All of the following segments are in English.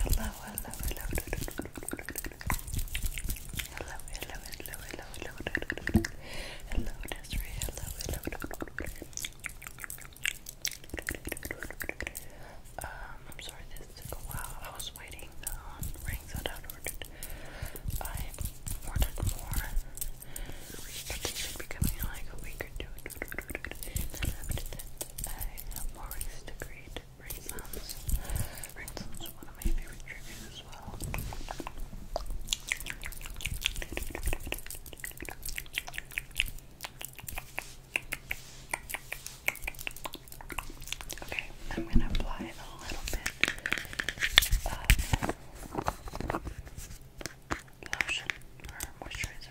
Hello, hello, hello. Hello, hello, hello, hello, hello. Hello, Desiree. Hello, hello. Um, I'm sorry this took a while. I was waiting on rings that I'd ordered. I ordered more. But they should be coming in like a week or two. And after that, I have more rings to create. Rain sounds. Rain one of my favorite triggers as well. Okay, I'm gonna apply a little bit of lotion or moisturizer.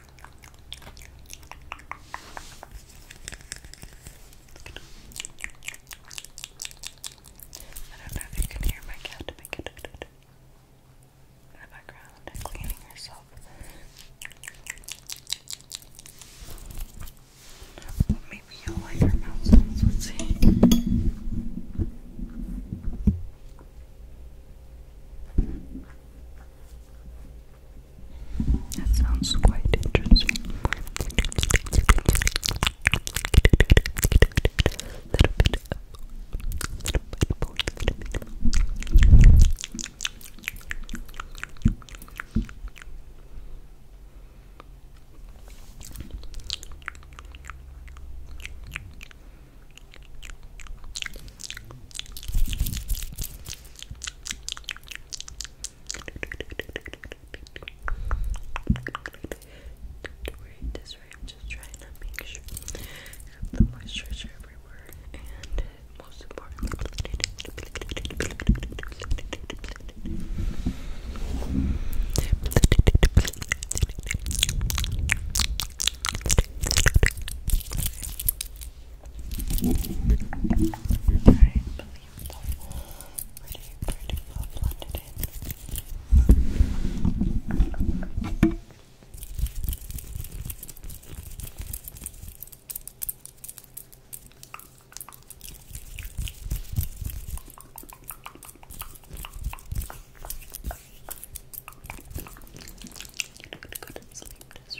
don't know if you can hear my cat in the background cleaning herself. Well, maybe you'll like her mouth sounds. Let's see. That sounds quite interesting. Wearing this right, I'm just trying to make sure I have the moisturizer everywhere, and most importantly, Okay. Very believable. Pretty, pretty well blended in. I'm gonna go to sleep just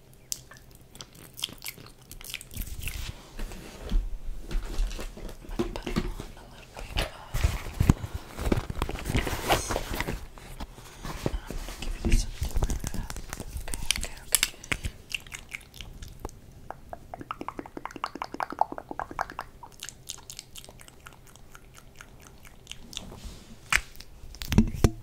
I'm gonna put on a little bit of this. And I'm gonna give you something like that. Okay, okay, okay. Okay,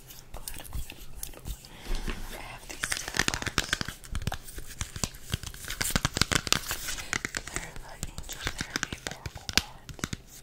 I'm glad, I'm glad, I'm glad, I'm glad. I have these sticker cards. They're the Angel Therapy Oracle cards.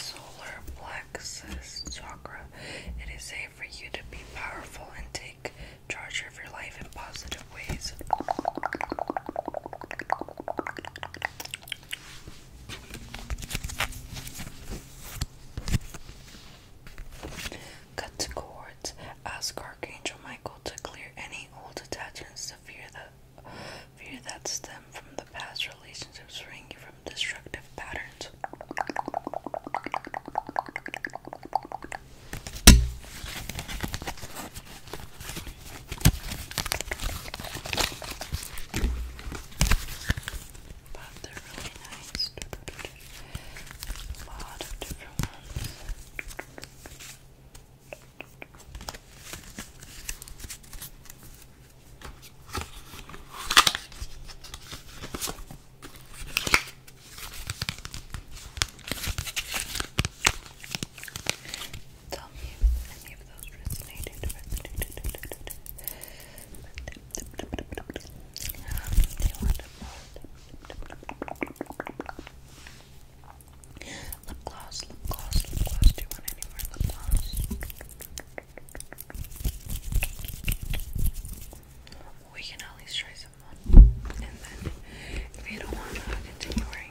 Solar plexus chakra. It is safe for you to be powerful and take charge of your life in positive both Cut to cords. Ask Archangel Michael to clear any old attachments fear that fear that stem from the past relationships ring you from destructive patterns. But they're really nice. A lot of different ones. Tell me if any of those resonated. resonated. Um, do you want lip gloss, lip gloss, lip gloss? Do you want any more lip gloss? We can at least try someone, and then if you don't want to continue wearing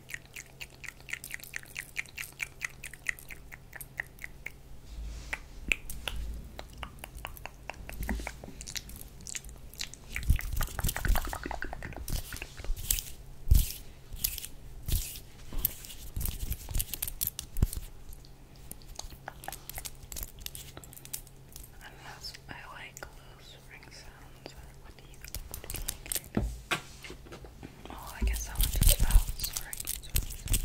Unless I like loose ring sounds ones, or what do you, what do you like to do? Oh, I guess that one just fell, sorry, sorry, sorry.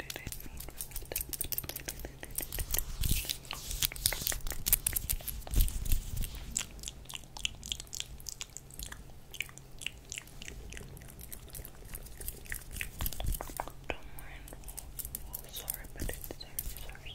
I didn't mean for that to don't mind. Oh, sorry, but it's there. Sorry.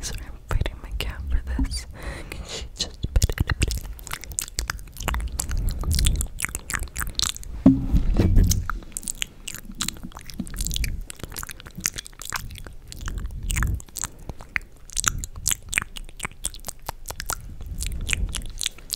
Sorry, I'm fighting my cat for this. Can she just bit it?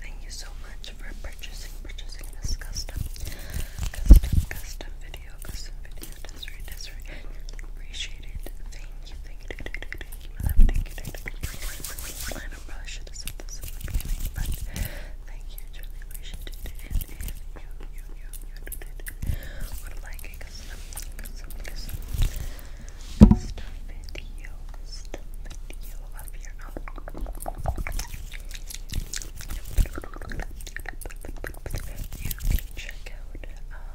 Thank you so much for purchasing, purchasing this custom, custom, custom video, custom video. Desiree, Desiree, brush this at this in the beginning, but thank you, truly appreciate it. And if you, you, you, you did it, would like a custom, custom, custom, custom video, custom video of your own, you can check out. Um,